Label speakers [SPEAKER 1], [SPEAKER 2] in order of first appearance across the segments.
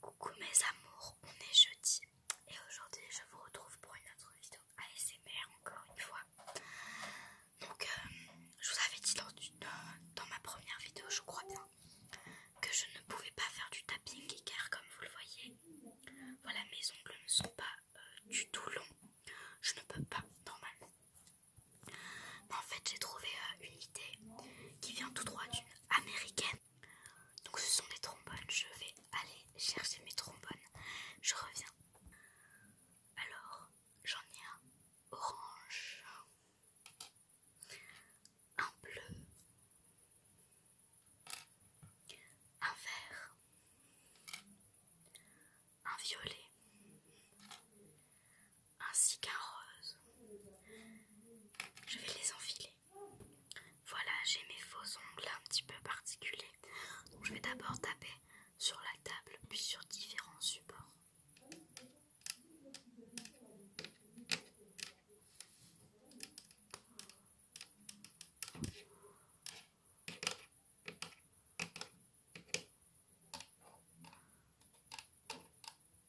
[SPEAKER 1] Coucou mes amours, on est jeudi et aujourd'hui je vous retrouve pour une autre vidéo ASMR encore une fois. Donc euh, je vous avais dit dans, ma première vidéo je crois bien que je ne pouvais pas faire du tapping car comme vous le voyez, voilà mes ongles ne sont pas euh, du tout longs, je ne peux pas normalement. Mais en fait j'ai trouvé euh, une idée qui vient tout droit du américaine. Donc ce sont des trombones. Je vais aller chercher mes trombones. Je reviens. Alors, j'en ai un orange, un bleu, un vert, un violet, ainsi qu'un rose. Je vais les enfiler. Voilà, j'ai mes faux ongles un petit peu particuliers. Donc je vais d'abord taper sur la table, puis sur différents supports.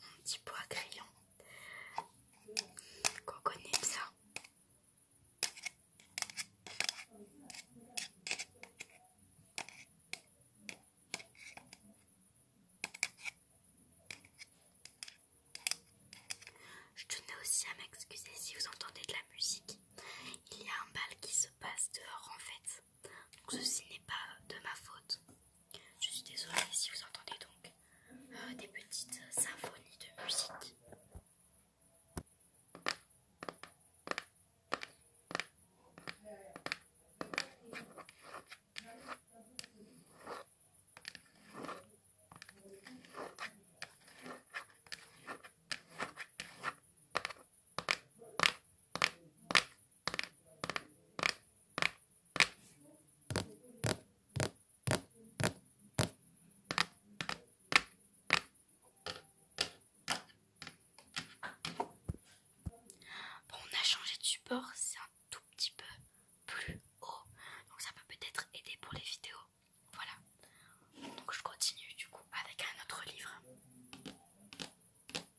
[SPEAKER 1] Mon petit pot à crayon. Qu'on connaît ça. Je tenais aussi à m'excuser si vous entendez de la musique. Il y a un bal qui se passe dehors en fait. Donc ceci n'est pas de ma faute. Je suis désolée si vous entendez donc euh, des petites symphonies de musique. Bon, on a changé de support, c'est un tout petit peu plus haut, donc ça peut peut-être aider pour les vidéos. Voilà, donc je continue du coup avec un autre livre.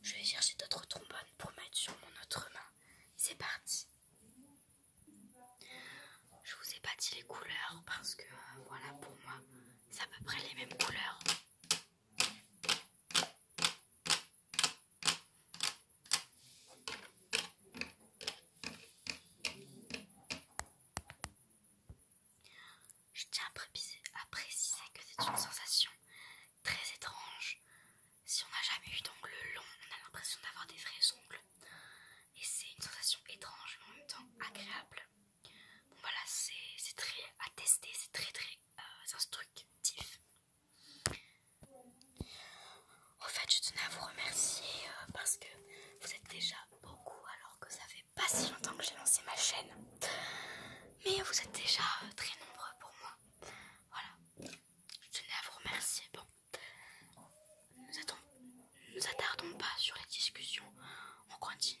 [SPEAKER 1] Je vais chercher d'autres trombones pour mettre sur mon autre main. C'est parti. Je vous ai pas dit les couleurs parce que euh, voilà pour moi c'est à peu près les mêmes couleurs. Je tiens à préciser que c'est une sensation très étrange. Si on n'a jamais eu d'ongles long, on a l'impression d'avoir des vrais ongles. Et c'est une sensation étrange mais en même temps agréable. Bon voilà, c'est très à tester, c'est très très euh, instructif. En fait, je tenais à vous remercier euh, parce que vous êtes déjà beaucoup alors que ça fait pas si longtemps que j'ai lancé ma chaîne. Mais vous êtes déjà euh, très nombreux pour moi. Voilà. Je tenais à vous remercier. Bon. Nous, attardons pas sur les discussions. On continue.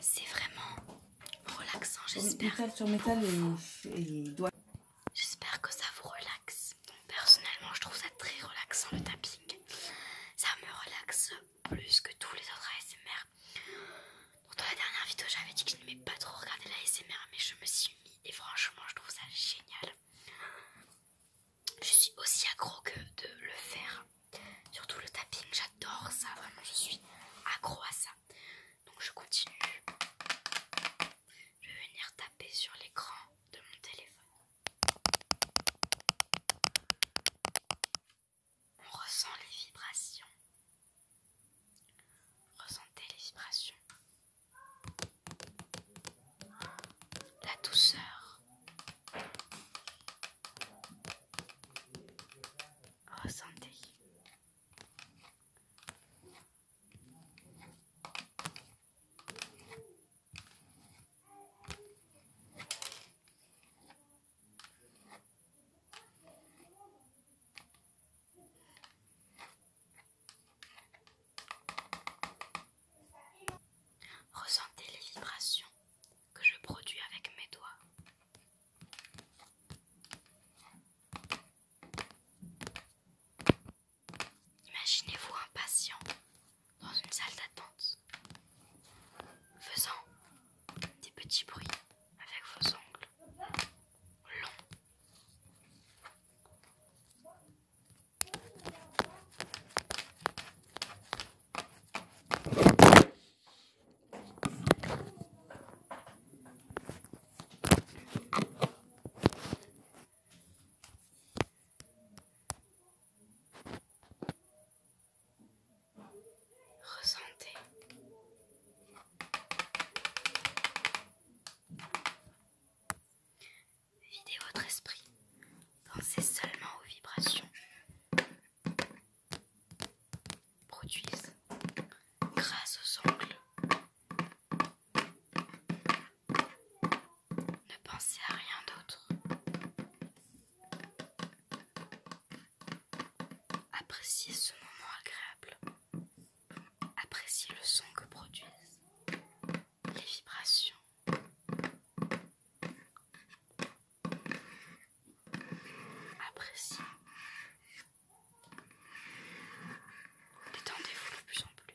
[SPEAKER 1] C'est vraiment relaxant, j'espère. sur métal et, et doigts. J'espère que ça vous relaxe. Personnellement, je trouve ça très relaxant le tapping. Ça me relaxe plus que tous les autres ASMR. dans la dernière vidéo, j'avais dit que je n'aimais pas trop regarder la ASMR, mais je me suis mis et franchement, je trouve ça génial. Je suis aussi accro que de le faire. Surtout le tapping, j'adore ça, vraiment je suis accro à ça. Donc je continue. Je vais venir taper sur l'écran de mon téléphone. On ressent les vibrations. Ressentez les vibrations. La douceur. Ressentez. Ressentez les vibrations que je produis avec mes doigts. Imaginez-vous un patient dans une salle d'attente, faisant des petits bruits avec vos ongles longs. Ressentez. Videz votre esprit. Pensez seulement aux vibrations produisent grâce aux ongles. Ne pensez à rien d'autre. Appréciez ce moment agréable. Appréciez le son que produisent les vibrations. Appréciez Détendez-vous de plus en plus.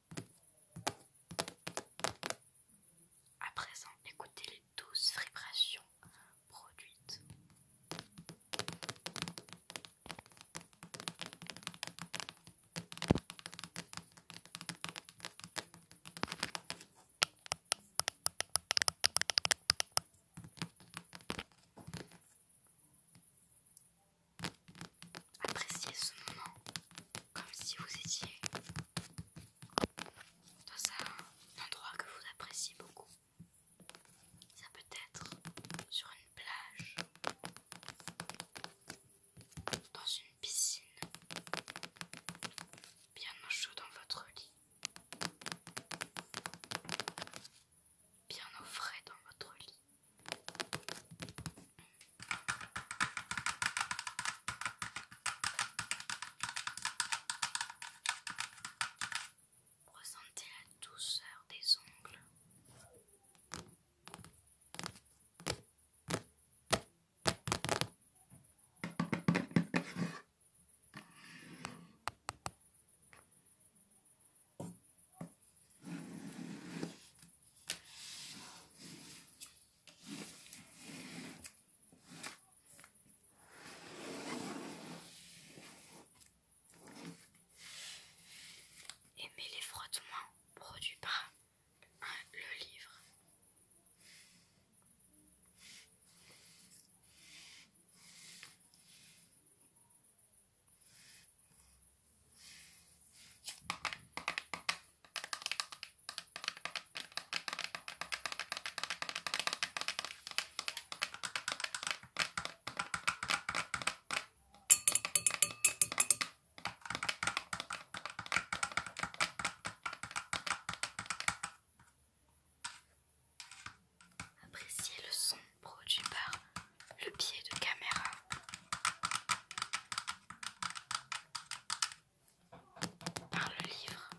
[SPEAKER 1] À présent, écoutez les douces vibrations produites. Appréciez ce moment comme si vous étiez dans un endroit que vous appréciez beaucoup. Ça peut être sur une plage, dans une piscine, bien au chaud dans votre lit, bien au frais dans votre lit. Ressentez la douceur des ongles. Aimez les frottements produits par le livre. Appréciez le son produit par le pied de caméra. Par le livre.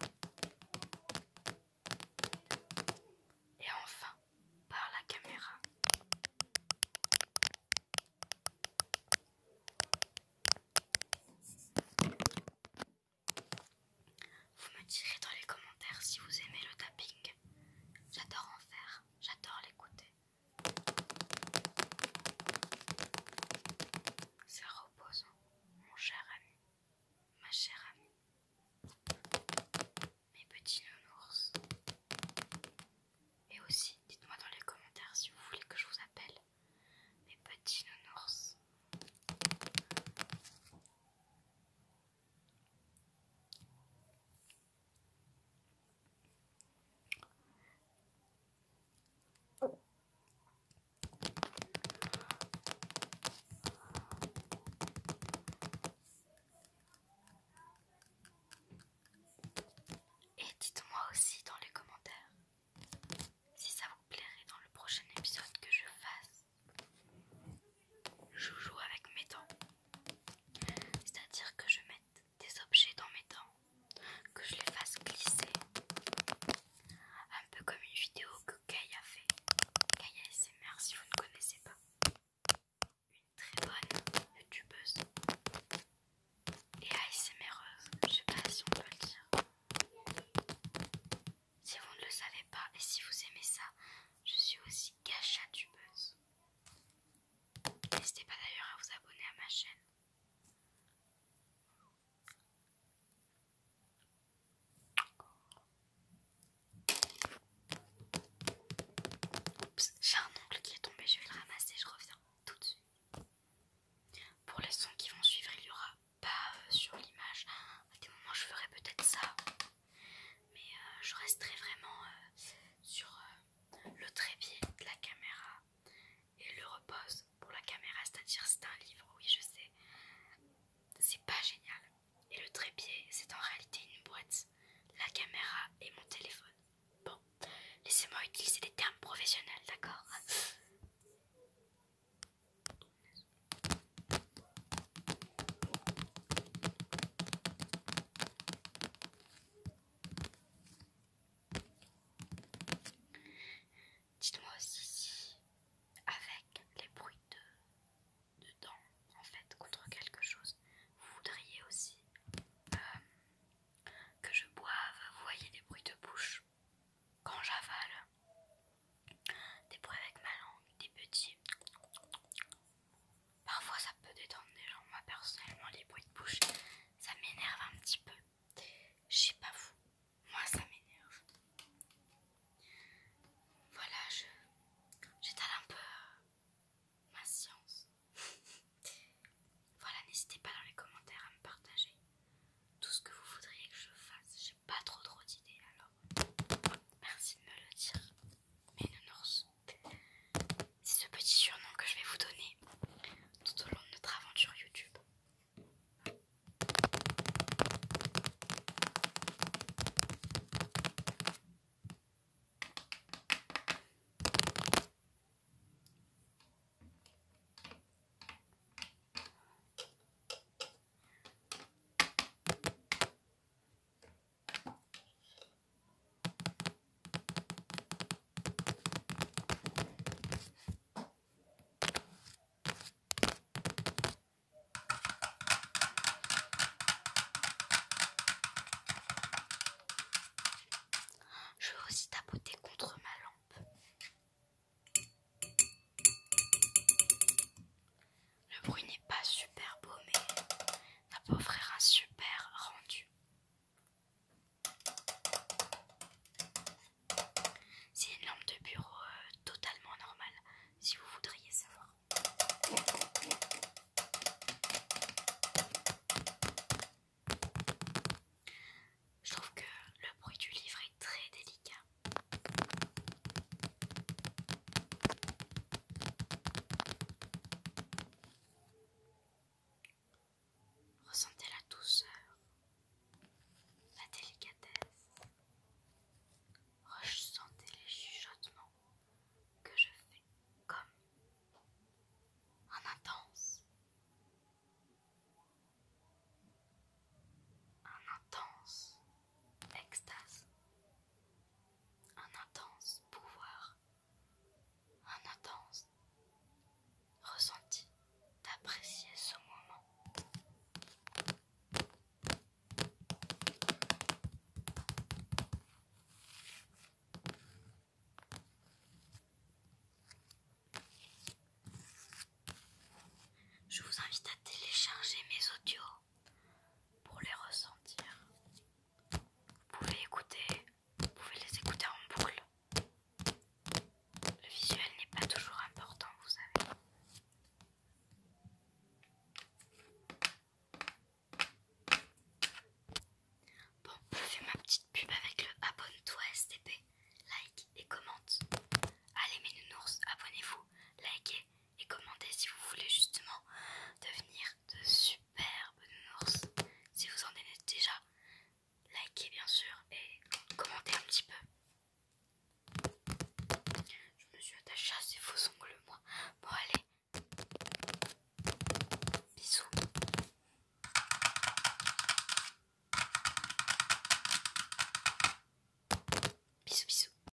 [SPEAKER 1] Et enfin, par la caméra. Vous me direz dans les commentaires si vous aimez le tapping. J'adore en faire, j'adore l'écouter. Ça repose, mon cher ami, ma chère amie, mes petits nounours. Et aussi, dites-moi dans les commentaires si vous voulez que je vous appelle mes petits nounours. Et dites-moi aussi dans les commentaires si ça vous plairait dans le prochain épisode que je fasse Je joue avec mes dents. C'est-à-dire que je mette des objets dans mes dents, que je les fasse glisser, un peu comme une vidéo que Kaya a fait, Kaya ASMR si vous ne connaissez pas, une très bonne youtubeuse et ASMReuse, je sais pas si on peut le dire. Si vous ne le savez pas et si vous aimez ça, je suis aussi gachatubeuse. N'hésitez pas d'ailleurs à vous abonner à ma chaîne. Oups, j'ai un ongle qui est tombé, je vais le ramasser, je reviens tout de suite. Pour les sons qui vont suivre, il n'y aura pas euh, sur l'image. À des moments, je ferai peut-être ça, mais euh, je resterai vraiment euh, sur le trépied de la caméra et le repose pour la caméra, c'est-à-dire c'est un livre, oui je sais, c'est pas génial. Et le trépied, c'est en réalité une boîte, la caméra et mon téléphone. Bon, laissez-moi utiliser des termes professionnels, d'accord Dites-moi aussi si, avec les bruits de, dents, en fait, contre quelque chose, vous voudriez aussi euh, que je boive, vous voyez, des bruits de bouche quand j'avale, des bruits avec ma langue, des petits Parfois ça peut détendre des gens. Moi personnellement les bruits de bouche, ça m'énerve un petit peu. Je sais pas vous. Moi ça m'énerve. Voilà, je j'étale un peu euh, ma science. voilà, n'hésitez pas dans les commentaires à me partager tout ce que vous voudriez que je fasse. J'ai pas trop trop d'idées alors. Merci de me le dire. Mais nounours c'est ce petit surnom que je vais vous donner tout au long de notre aventure YouTube. Je vais aussi tapoter contre ma lampe. Le bruit n'est pas super beau, mais n'a pas offrir un super rendu. C'est une lampe de bureau euh, totalement normale, si vous voudriez savoir. Je trouve que le bruit du livre est très délicat. Ressentez la douceur, la délicatesse. Ressentez les chuchotements que je fais comme un intense, un intense un intense pouvoir, un intense ressenti d'apprécier ce moment. Je vous invite à télécharger mes audios pour les ressentir. Vous pouvez écouter, vous pouvez les écouter en boucle. Le visuel n'est pas toujours important, vous savez. Bon, je fais ma petite pub avec le abonne-toi STP, like et commente. Allez mes nounours, abonnez-vous, likez et commentez si vous voulez justement devenir de superbes nounours. Si vous en êtes déjà, likez bien sûr et commentez un petit peu. Je me suis attachée à ces faux ongles, moi. Bon, allez. Bisous. Bisous, bisous.